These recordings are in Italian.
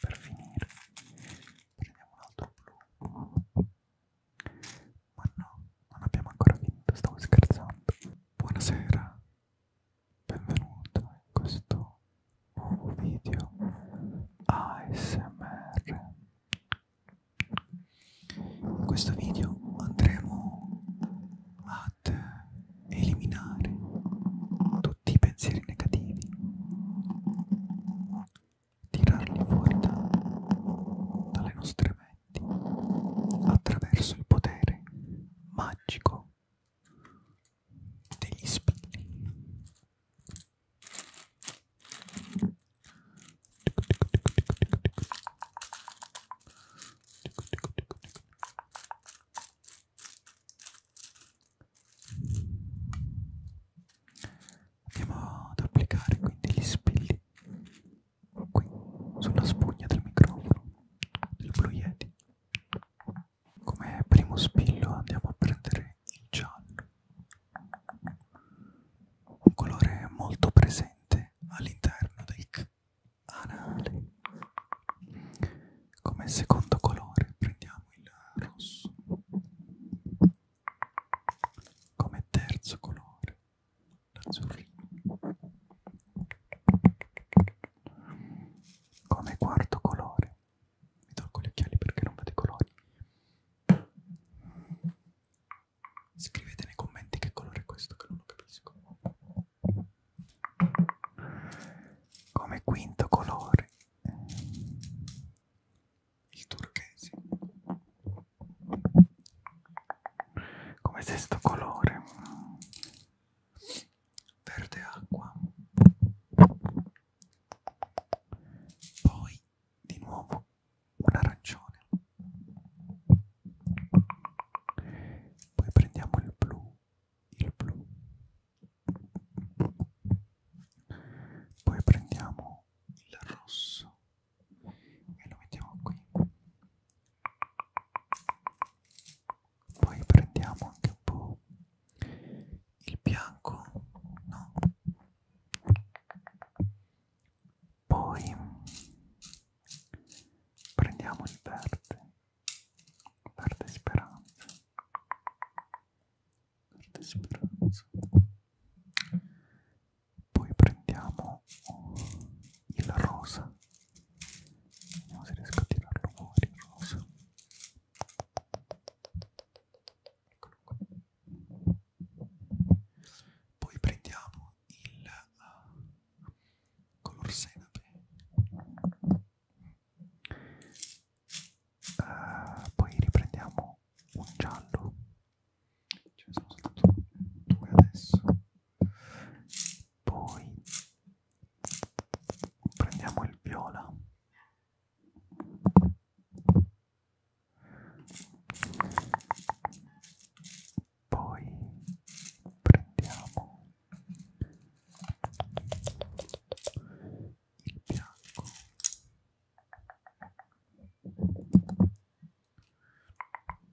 per finire prendiamo un altro blu ma no non abbiamo ancora finito stavo scherzando buonasera benvenuto in questo nuovo video ASMR in questo video andremo ad eliminare tutti i pensieri negativi, tirarli fuori da, dalle nostre menti attraverso il potere magico degli spilli. Andiamo ad applicare quindi gli spilli qui sulla spugna del microfono del Blue Yeti. Come primo spillo andiamo a prendere il giallo, un colore molto presente all'interno del canale come secondo colore prendiamo il rosso come terzo colore l'azzurrino come quarto colore mi tolgo gli occhiali perché non vedo i colori scrivete nei commenti che colore è questo che non lo capisco come quinto colore il turchese come sesto colore verde acqua poi di nuovo un arancione poi prendiamo il blu il blu poi prendiamo il rosso e lo mettiamo qui poi prendiamo anche un po' il bianco no poi prendiamo il verde perde speranza perde speranza poi prendiamo il rosa vediamo se riesco a tirarlo fuori il rosa poi prendiamo il uh, color senape uh, eh, poi riprendiamo un giallo ce ne sono soltanto due adesso poi prendiamo il viola poi prendiamo il bianco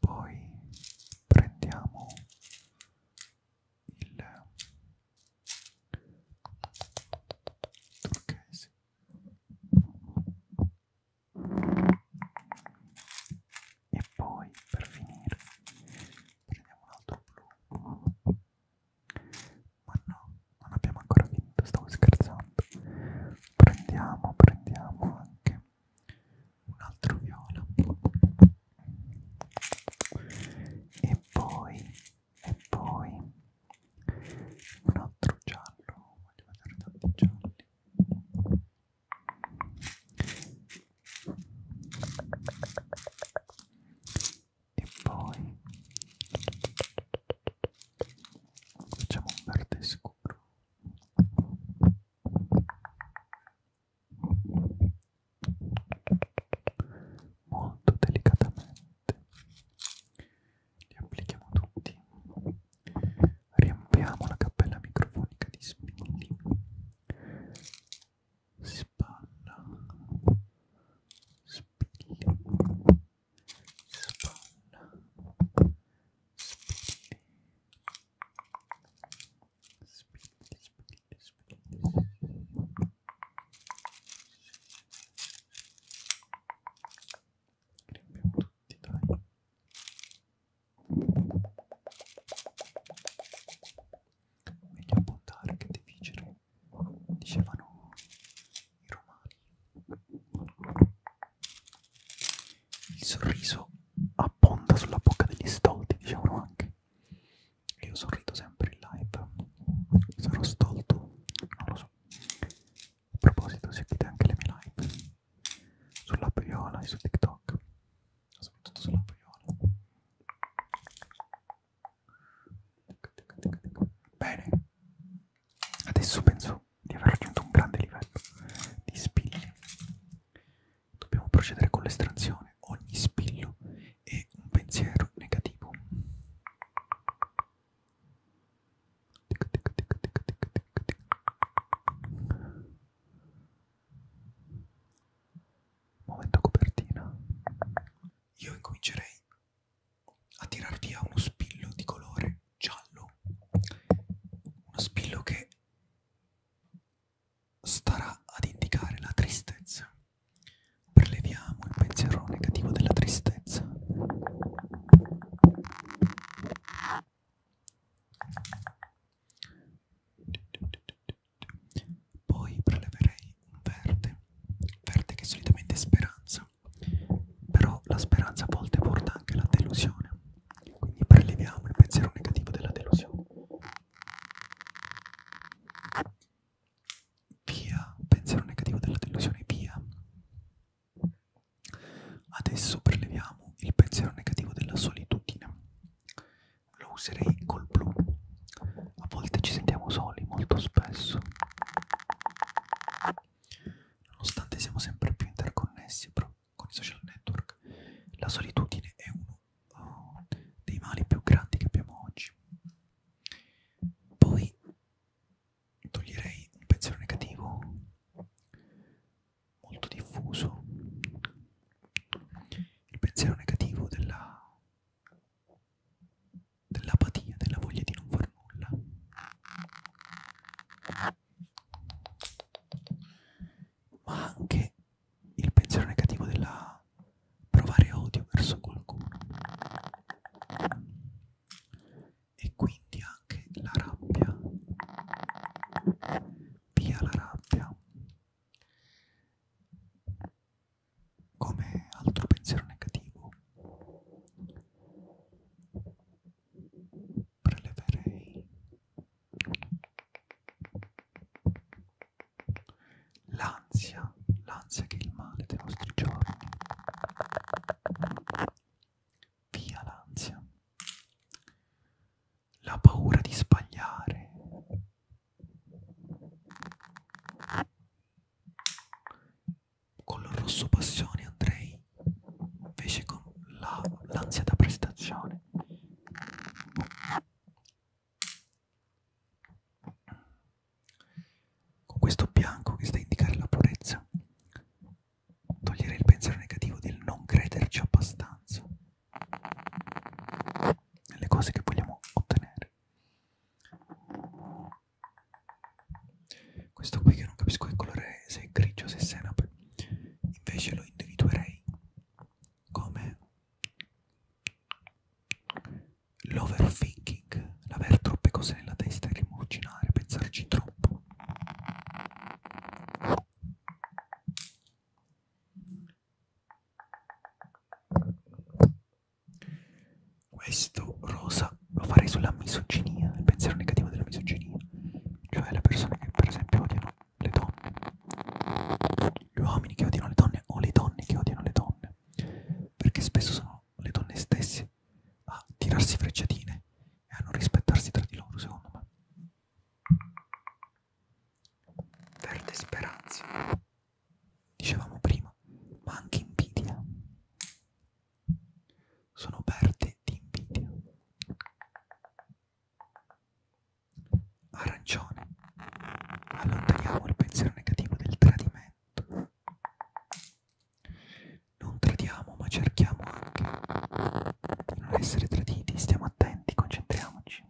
poi prendiamo il turchese e poi per finire prendiamo un altro blu ma no non abbiamo ancora vinto stavo scherzando prendiamo prendiamo anche un altro viola e poi e poi un altro giallo voglio vedere tanti gialli e poi facciamo un verde scuro molto delicatamente li applichiamo tutti riempiamo la cappella microfonica di spilli spalla spilli spalla spilli spilli spilli spilli Riempiamo tutti, dai. Meglio appuntare che difficile, dicevano i romani. Il sorriso abbonda sulla bocca degli stolti, dicevano anche. Io sorrido sempre in live. Sarò stolto? Non lo so. A proposito, seguite anche le mie live sull'app Viola e su TikTok, soprattutto sull'app Viola. Bene, adesso penso di aver raggiunto un grande livello di spilli. Dobbiamo procedere con l'estrazione. Ogni spillo è un pensiero negativo. Momento copertina. Io incomincerei a tirar via uno spillo di colore giallo. Uno spillo che starà ad indicare la tristezza. Preleviamo il pensiero negativo della tristezza. Poi preleverei un verde, verde che è solitamente è speranza, però la speranza a volte porta anche alla delusione, quindi preleviamo il pensiero negativo della delusione. Via, pensiero negativo della delusione, via. Adesso preleviamo il pensiero negativo della solitudine. Lo userei col blu. A volte ci sentiamo soli, molto spesso. Nonostante siamo sempre più interconnessi però, con i social network, la solitudine è uno oh, dei mali più grandi che abbiamo oggi. Poi toglierei un pensiero negativo molto diffuso il pensiero negativo della dell'apatia della voglia di non far nulla ma anche il pensiero negativo della provare odio verso qualcuno e quindi anche la rabbia via la rabbia come altro pensiero negativo preleverei la l'ansia, l'ansia che è il male dei nostri giorni. Via l'ansia. La paura di sbagliare. Con la rosso passione andrei invece con l'ansia la, da prestazione. Con questo bianco che sta a indicare la purezza, togliere il pensiero negativo del non crederci abbastanza nelle cose che vogliamo ottenere. Questo qui che non capisco che colore è, se è grigio, se è senape, invece lo individuerei come L'overthinking, l'aver troppe cose nella testa e rimuginare, pensarci troppo. Questo rosa lo farei sulla misoginia, il pensiero negativo della misoginia, cioè le persone che per esempio odiano le donne, gli uomini che odiano le donne o le donne che odiano le donne donne, perché spesso sono le donne stesse a tirarsi frecciatine e a non rispettarsi tra di loro, secondo me. Verde speranza, dicevamo prima, ma anche invidia. Sono verde di invidia arancione. Allontaniamo il pensiero negativo del tradimento. Non tradiamo, ma cerchiamo anche di non essere traditi. Stiamo attenti, concentriamoci.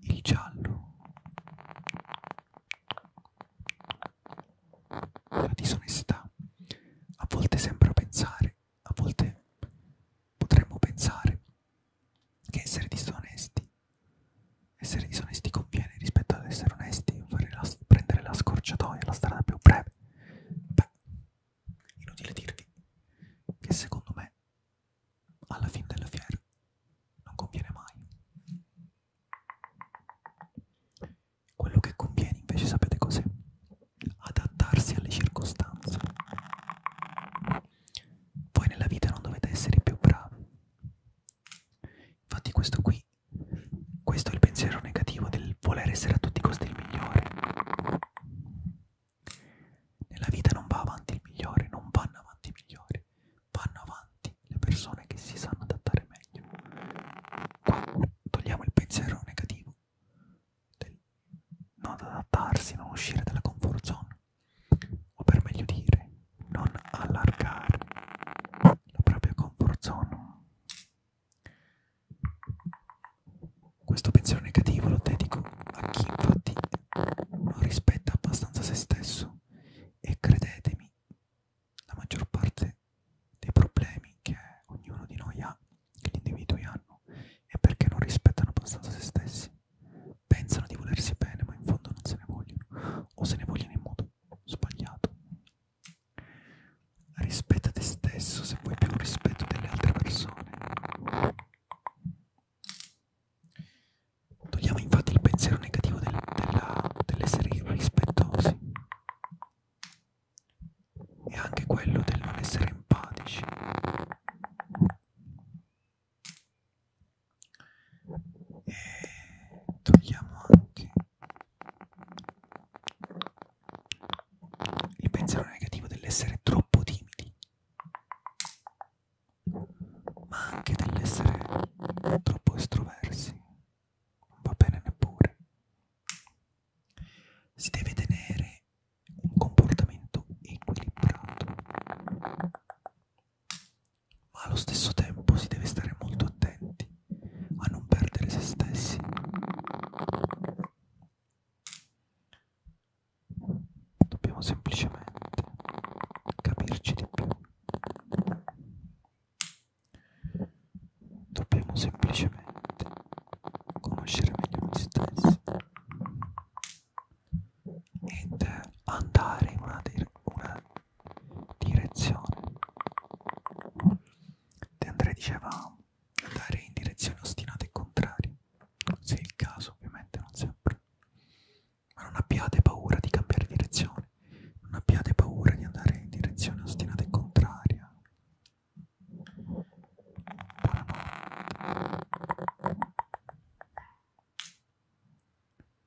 Il giallo. La disonestà. A volte sembra pensare a volte potremmo pensare che essere disonesti, essere disonesti conviene rispetto ad essere onesti, la, prendere la scorciatoia, la strada più breve. Beh, inutile dirvi che secondo me alla fine della fiera non conviene mai. Quello che conviene invece sapete cos'è? Adattarsi alle circostanze. Voi nella vita non dovete essere più bravi. Infatti questo qui, questo è il pensiero negativo del voler essere a tutti i costi il migliore. Nella vita non va avanti il migliore, non vanno avanti i migliori, vanno avanti le persone che si sanno adattare meglio. Quando togliamo il pensiero negativo del non adattarsi, non uscire dalla comfort zone, o per meglio dire, non allargare la propria comfort zone. Questo pensiero negativo lo dedico a chi infatti non rispetta abbastanza se stesso e credetemi, la maggior parte dei problemi che ognuno di noi ha, che gli individui hanno, e perché non rispettano abbastanza se stessi. Pensano di volersi bene, ma in fondo non se ne vogliono, o se ne vogliono in modo sbagliato. Rispetta te stesso se vuoi più rispetto delle altre persone. Togliamo infatti il pensiero negativo del, della, dell'essere irrispettosi e anche quello del non essere empatici. E togliamo anche il pensiero negativo dell'essere troppo timidi, ma anche dell'essere troppo estroversi non va bene neppure. Si deve tenere un comportamento equilibrato, ma allo stesso tempo si deve stare molto attenti a non perdere se stessi. Dobbiamo semplicemente capirci di più. Dobbiamo semplicemente conoscere meglio noi stessi ed andare in una, dire una direzione. De André diceva andare in direzioni ostinate e contrarie, se è il caso ovviamente non sempre, ma non abbiate paura di cambiare direzione, non abbiate paura di andare in direzione ostinata e contraria.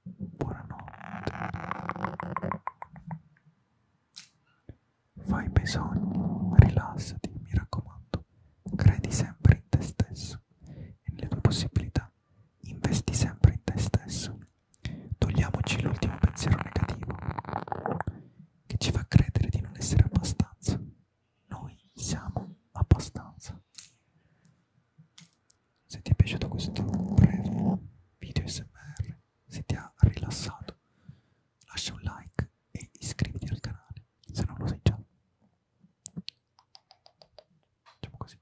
Buonanotte. Buonanotte. Fai bei sogni, rilassati, mi raccomando. Credi sempre in te stesso e nelle tue possibilità. Investi sempre in te stesso. Togliamoci l'ultimo pensiero negativo che ci fa credere di non essere abbastanza. Noi siamo abbastanza. Se ti è piaciuto questo breve video SMR, se ti ha rilassato, lascia un like e iscriviti al canale, se non lo sei già. Facciamo così.